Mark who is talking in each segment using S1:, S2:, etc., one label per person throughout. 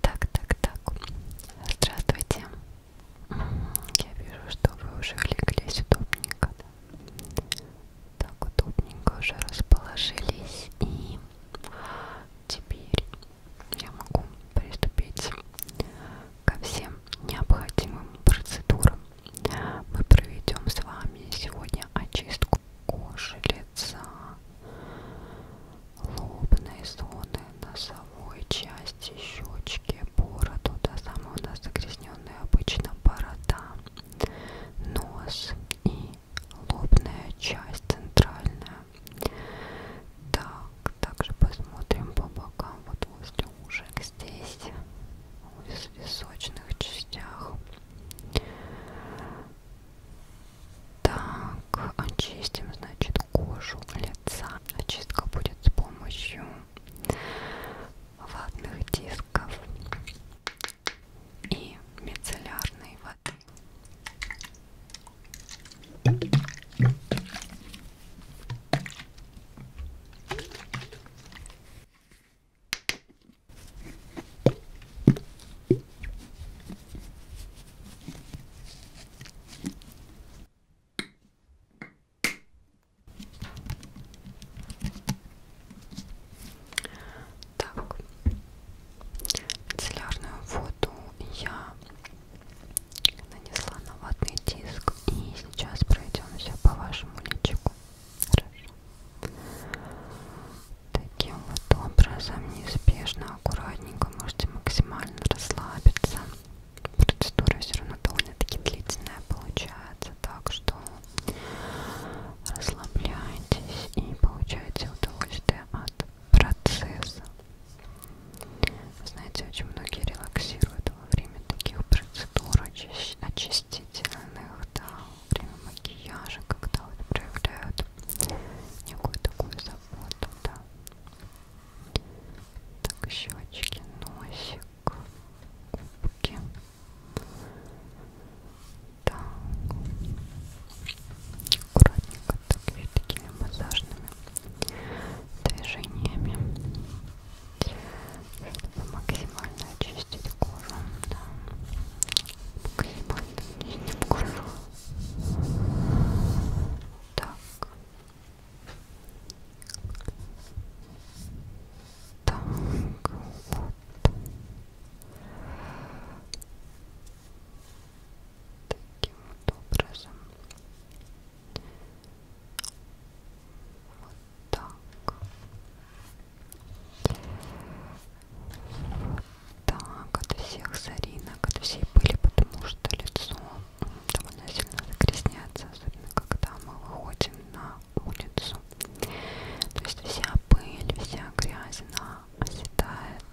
S1: Так, так, так. Здравствуйте. Я вижу, что вы уже улеглись удобненько. Да? Так, удобненько уже расположились. И теперь я могу приступить ко всем необходимым процедурам. Мы проведем с вами сегодня очистку кожи, лица, лобной зоны, носовой части, щечки, бороду, до самого у нас загрязненная обычно борода, нос и лобная часть центральная. Так, также посмотрим по бокам, вот возле ушек здесь, в височных частях. Так, очистим, значит, кожу лица. Очистка будет с помощью ватных дисков и мицеллярной воды. Так, целлярную воду я нанесла на ватный диск и сейчас пройдемся по вашему личику. Хорошо. Таким вот образом, неспешно, аккуратненько можете максимально можно расслабиться. Процедура все равно довольно-таки длительная получается, так что расслабляйтесь и получайте удовольствие от процесса. Вы знаете, очень многие релаксируют во время таких процедур очистительных, да, во время макияжа, когда вот проявляют некую такую заботу, да. Так, щечки, носик, губки. Так. Аккуратненько, так, и такими массажными движениями. Чтобы максимально очистить кожу. Да. Максимально очистить кожу так так вот таким вот образом вот так вот так, от всех соринок, от всей пыли, потому что лицо довольно сильно загрязняется, особенно когда мы выходим на улицу. То есть вся пыль, вся грязь, она оседает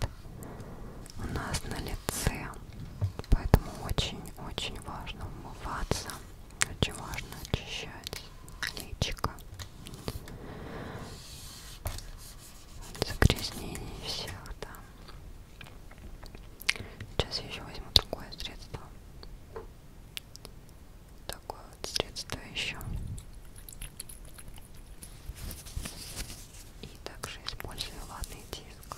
S1: у нас на лице. Поэтому очень-очень важно умываться, очень важно очищать личико от загрязнений всех, да. Сейчас я еще возьму другое средство. Такое вот средство еще. И также использую ладный диск.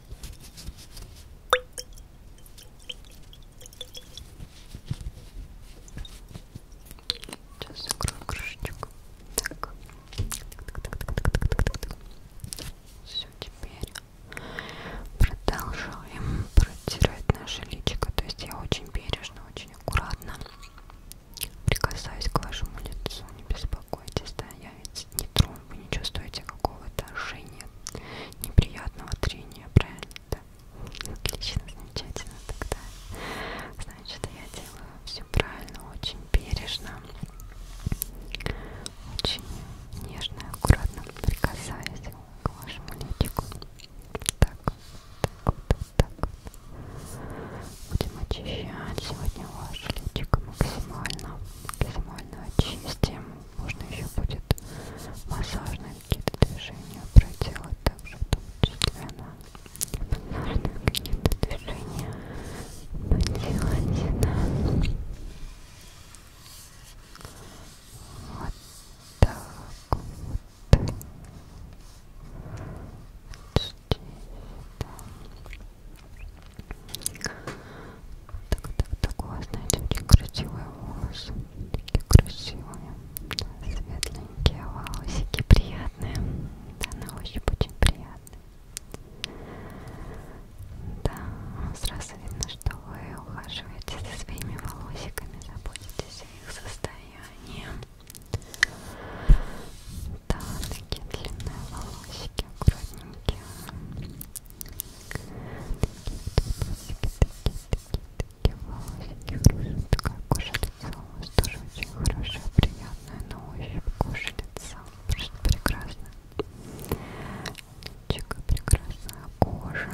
S1: Сейчас закрою крышечку. Так. Так, так, так, так, так, так, так. Все, теперь продолжаем протирать наше личико. То есть я очень бережно, очень аккуратно прикасаюсь к вашему лицу. Не беспокойтесь, да, я ведь не трону вы не чувствуете какого-то жжения, неприятного трения, правильно? Да. Отлично, замечательно тогда. Значит, я делаю все правильно, очень бережно, очень нежно и аккуратно прикасаясь к вашему личику. Так, так, так, так. Будем очищать сегодня ваше личико максимально максимально очистим. Можно еще будет массажные какие-то движения проделать, также в том числе на массажные какие-то движения поделать. Да. Вот так вот. вот здесь, да. Так, так, так, у вас, знаете, очень красивые волосы. Такие красивые, светленькие волосики, приятные. Да, на ощупь очень приятные. Да, сразу видно, что вы ухаживаете за своими волосиками, заботитесь о их состоянии. Да, такие длинные волосики, аккуратненькие. Такие, такие, такие, такие, такие волосики. Такая кожа лица у вас тоже очень хорошая, приятная на ощупь кожа лица. Просто прекрасно. Личико прекрасная кожа.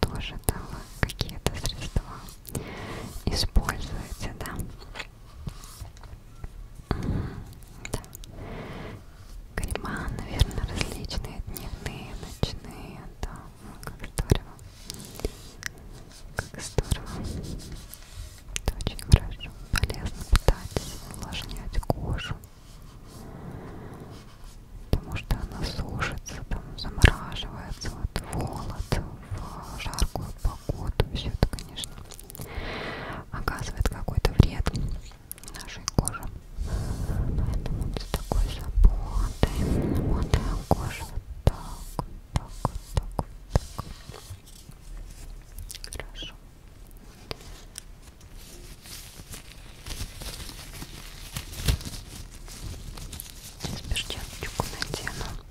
S1: Тоже там какие-то средства используете, да? Да. Кариман, наверное, различные дневные, ночные, да, ну, как здорово, как здорово, это очень хорошо, полезно питать, увлажнять кожу, потому что она сушится, там замораживается, вот, холод в жаркую погоду, все это, конечно, оказывает какой-то вред нашей коже. Поэтому вот с такой заботой намотаем кожу так, так, так, так. Хорошо. Сейчас перчаточку надену.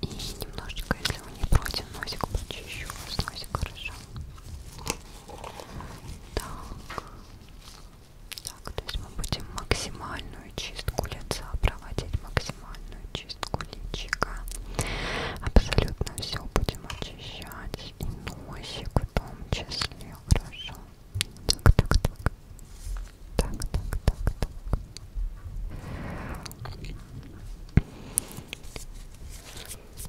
S1: И немножечко, если вы не против, носик почищу. У вас носик хорошо. Так. Так, то есть мы будем максимальную чистку лица проводить, максимальную чистку личика. Абсолютно все будем очищать. И носик в том числе. Хорошо. Так, так, так. Так, так, так, так. Так.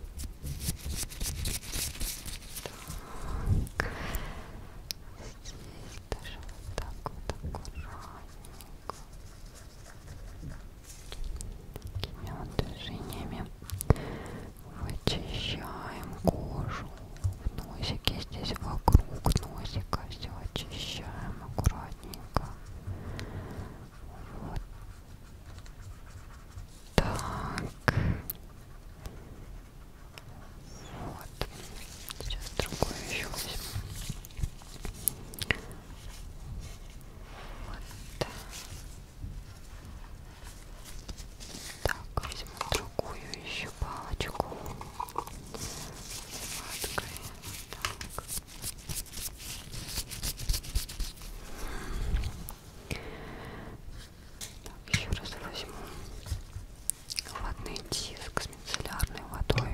S1: Здесь даже вот так вот аккуратненько. Такими вот движениями вычищаем кожу в носике. Здесь вокруг носика все очищаем аккуратненько. Вот так. Вот. Сейчас другую еще возьму. Вот так. Так, возьму другую еще палочку. Сладкая. Так. Так, еще раз возьму ватный диск с мицеллярной водой.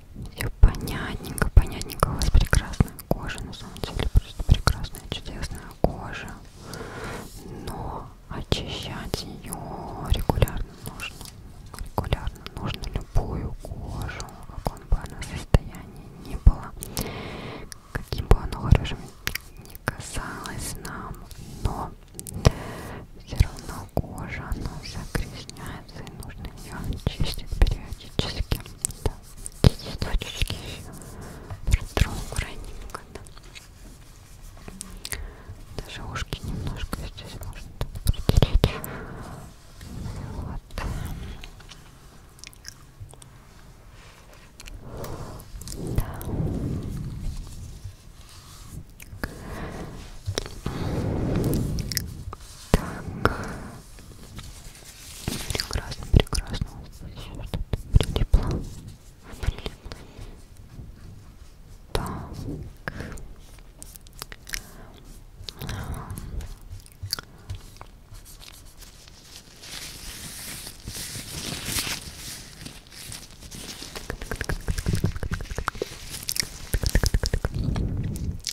S1: Все понятненько, понятненько. У вас прекрасная кожа, на самом деле просто прекрасная, чудесная кожа. Но очищать ее регулярно нужно. Регулярно нужно любую кожу, в каком бы она состоянии ни была, каким бы оно хорошим ни казалось нам, но все равно кожа, она загрязняется начинается, и нужно ее чистить периодически. Да. Эти точечки еще протру раненько. Да. Даже ушки немножко здесь можно протереть. Вот. Да. Так. Прекрасно, прекрасно. Еще что-то прилипло. Прилипло. Так. Так,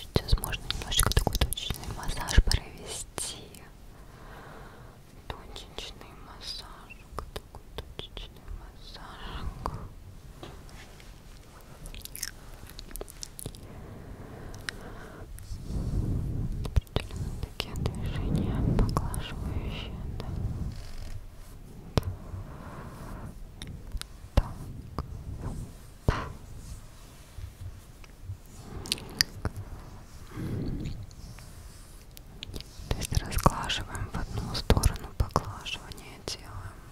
S1: Сейчас можно немножечко такой точечный массаж провести. Точечный массаж, такой точечный массаж определенно такие движения поглаживающие да. Так. То есть разглаживаем в одну сторону поглаживание делаем,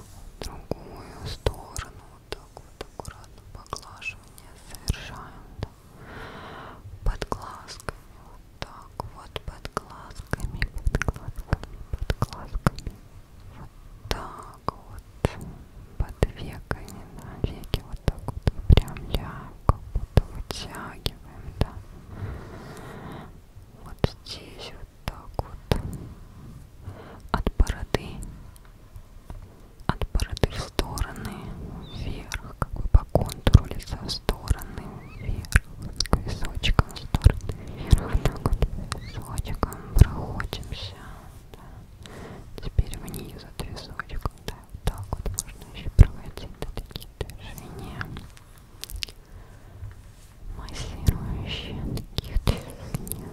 S1: в другую сторону вот так вот аккуратно поглаживание совершаем да? под глазками, вот так вот под глазками, под глазками, под глазками, вот так вот под веками, да, веки вот так вот выпрямляем, как будто вытягиваем, да, вот здесь вот так вот от бороды от бороды в стороны вверх, как бы по контуру лица в стороны вверх, с височком в стороны вверх, так вот височком проходимся, да. теперь вниз от височком, да, вот так вот можно еще проводить да, такие движения массирующие таких движения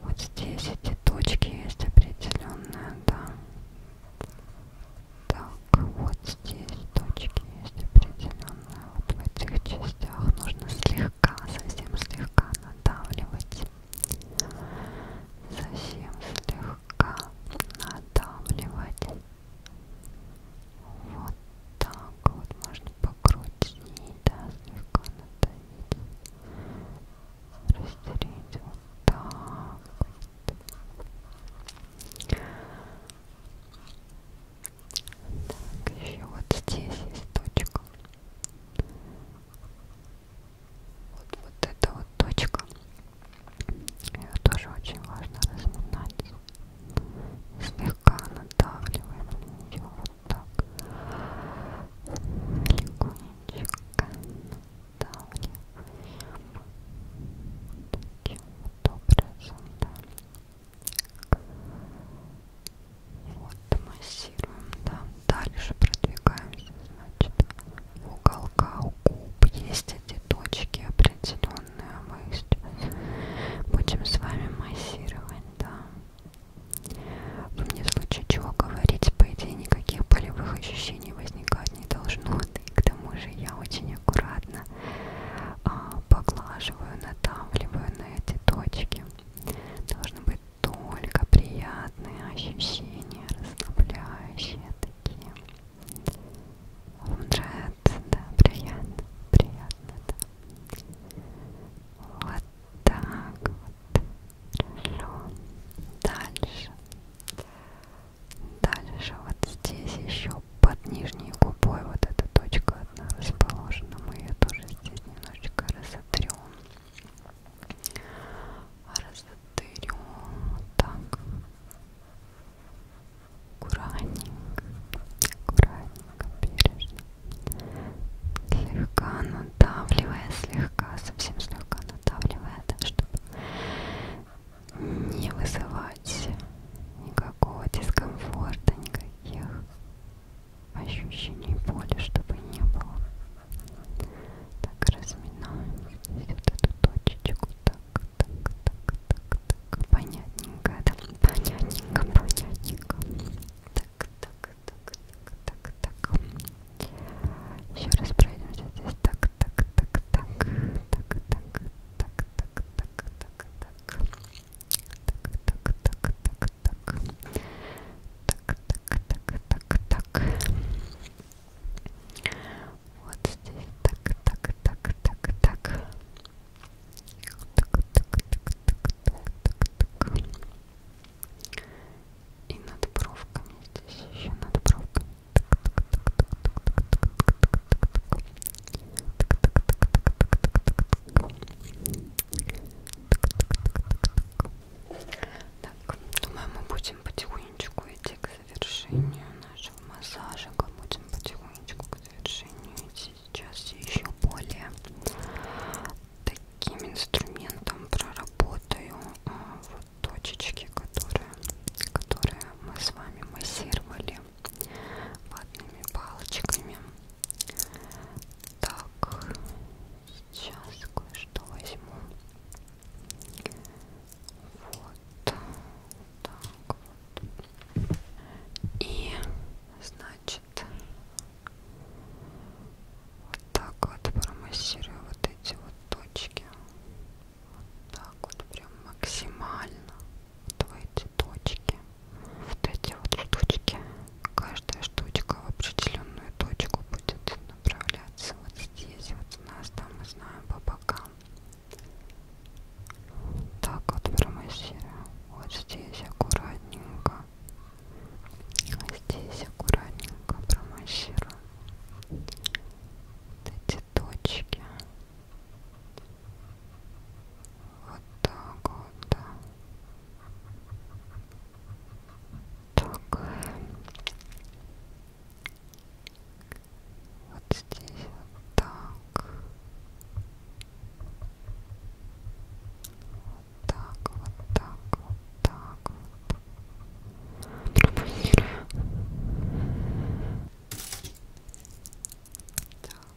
S1: Вот здесь эти точки есть определенные, да. Так, вот здесь точки есть определенные. Вот в этих частях нужно слегка, совсем слегка надавливать. Совсем слегка надавливать. Вот так вот можно по покрутить, да, слегка надавить, растереть вот так вот. Так, еще вот здесь есть точка. Вот, вот эта вот точка. Ее тоже очень важно разминать. Слегка надавливаем на нее вот легонечко надавливаем таким вот образом, да. Вот, массируем, да. Дальше продвигаемся, значит, в уголках у губ есть эти точки определенные, мы их будем с вами массировать, да. Вы мне в случае чего говорить, по идее, никаких болевых ощущений возникать не должно. И к тому же я очень аккуратно а, поглаживаю, надавливаю на эти точки. Должны быть только приятные ощущения, расслабляющие такие. Вам нравится, да, приятно, приятно, да. Вот так, вот, хорошо. Дальше. Дальше вот здесь еще под нижней губой вот эта точка одна расположена. Мы ее тоже здесь немножечко разотрем. Разотрем вот так. Аккуратненько, аккуратненько, бережно слегка надавливая, слегка, совсем слегка надавливая, так, чтобы не вызывать никакого дискомфорта, никаких ощущений боли, чтобы не было. Так, разминаем здесь вот эту точечку, так, так, так, так, так, понятненько, да, понятненько, понятненько, так, так, так, так, так. Еще раз пройдемся здесь. Так, так, так, так, так, так, так, так, так, так, так, так. Так, так, так, так, так. Так, так, так, так, так. Вот здесь. Так, так, так, так, так. Так, так, так, так, так, так, так. И над бровками здесь еще над бровками. Так, думаю, мы будем потихонечку идти к завершению нашего массажика. Будем потихонечку к завершению идти. Сейчас еще более таким инструментом проработаю а, вот точечки, которые, которые мы с вами массировали ватными палочками. Так, сейчас кое-что возьму. Вот так вот. И, значит, значит вот так вот промассирую вот эти вот точки вот так вот прям максимально вот в эти точки вот эти вот штучки каждая штучка в определенную точку будет направляться вот здесь вот у нас там мы знаем по бокам так вот промассирую вот здесь аккуратненько Здесь аккуратненько промассируем вот эти точки. Вот так вот, да. Так. Вот здесь вот так так, вот так, вот так вот. Так. Помолка. Так вот. Так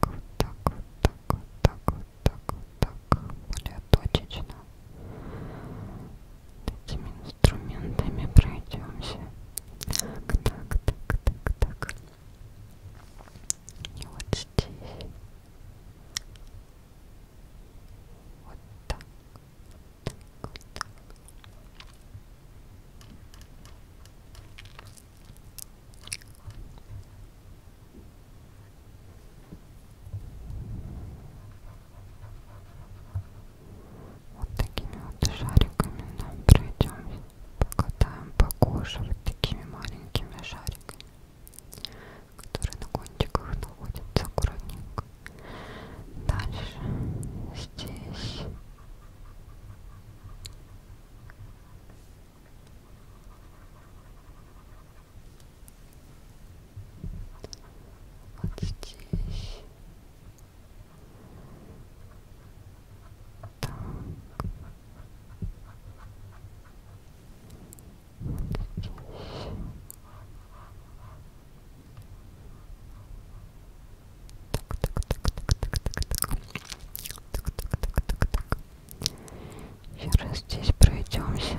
S1: вот, так вот, так вот, так вот, так вот, так. Более точечно этими инструментами пройдемся. Так, так, так, так, так. И вот здесь. Вот так. Вот так, вот так. Вот такими вот шариками нам пройдем, покатаем по коже вот такими маленькими шариками, которые на кончиках находятся аккуратненько. Дальше здесь вот здесь. Так. Вот здесь. Так, так, так, так, так, так, так, так, так, так, так. Еще раз здесь пройдемся.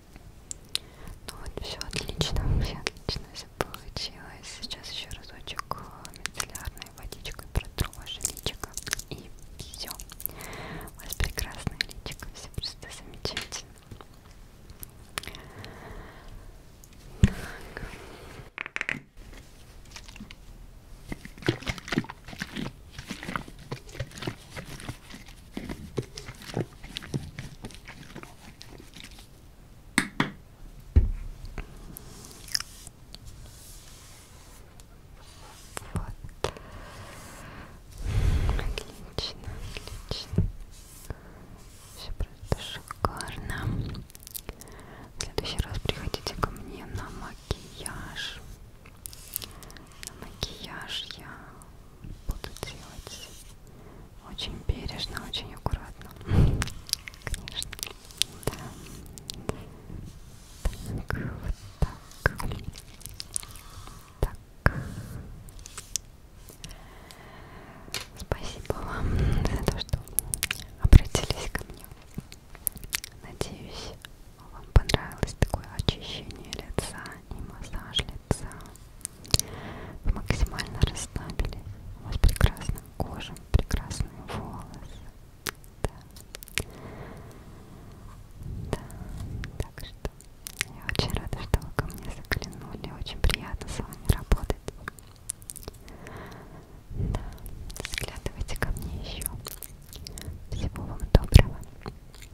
S1: Ну вот, все отлично, все отлично все получилось. Сейчас еще разочек э, мицеллярной водичкой протру ваше личико. И все. У вас прекрасное личико, все просто замечательно. Так. Вот. Отлично, отлично. Все просто шикарно. В следующий раз приходите ко мне на макияж. Макияж я буду делать очень бережно, очень аккуратно. Конечно. Да. Так, вот так. Так. Спасибо вам за то, что обратились ко мне. Надеюсь, вам понравилось такое очищение лица и массаж лица. Вы максимально расслабились. У вас прекрасная кожа, прекрасные волосы. Да. Да. Так что я очень рада, что вы ко мне заглянули. Очень приятно с вами работать. Да, заглядывайте ко мне еще. Всего вам доброго.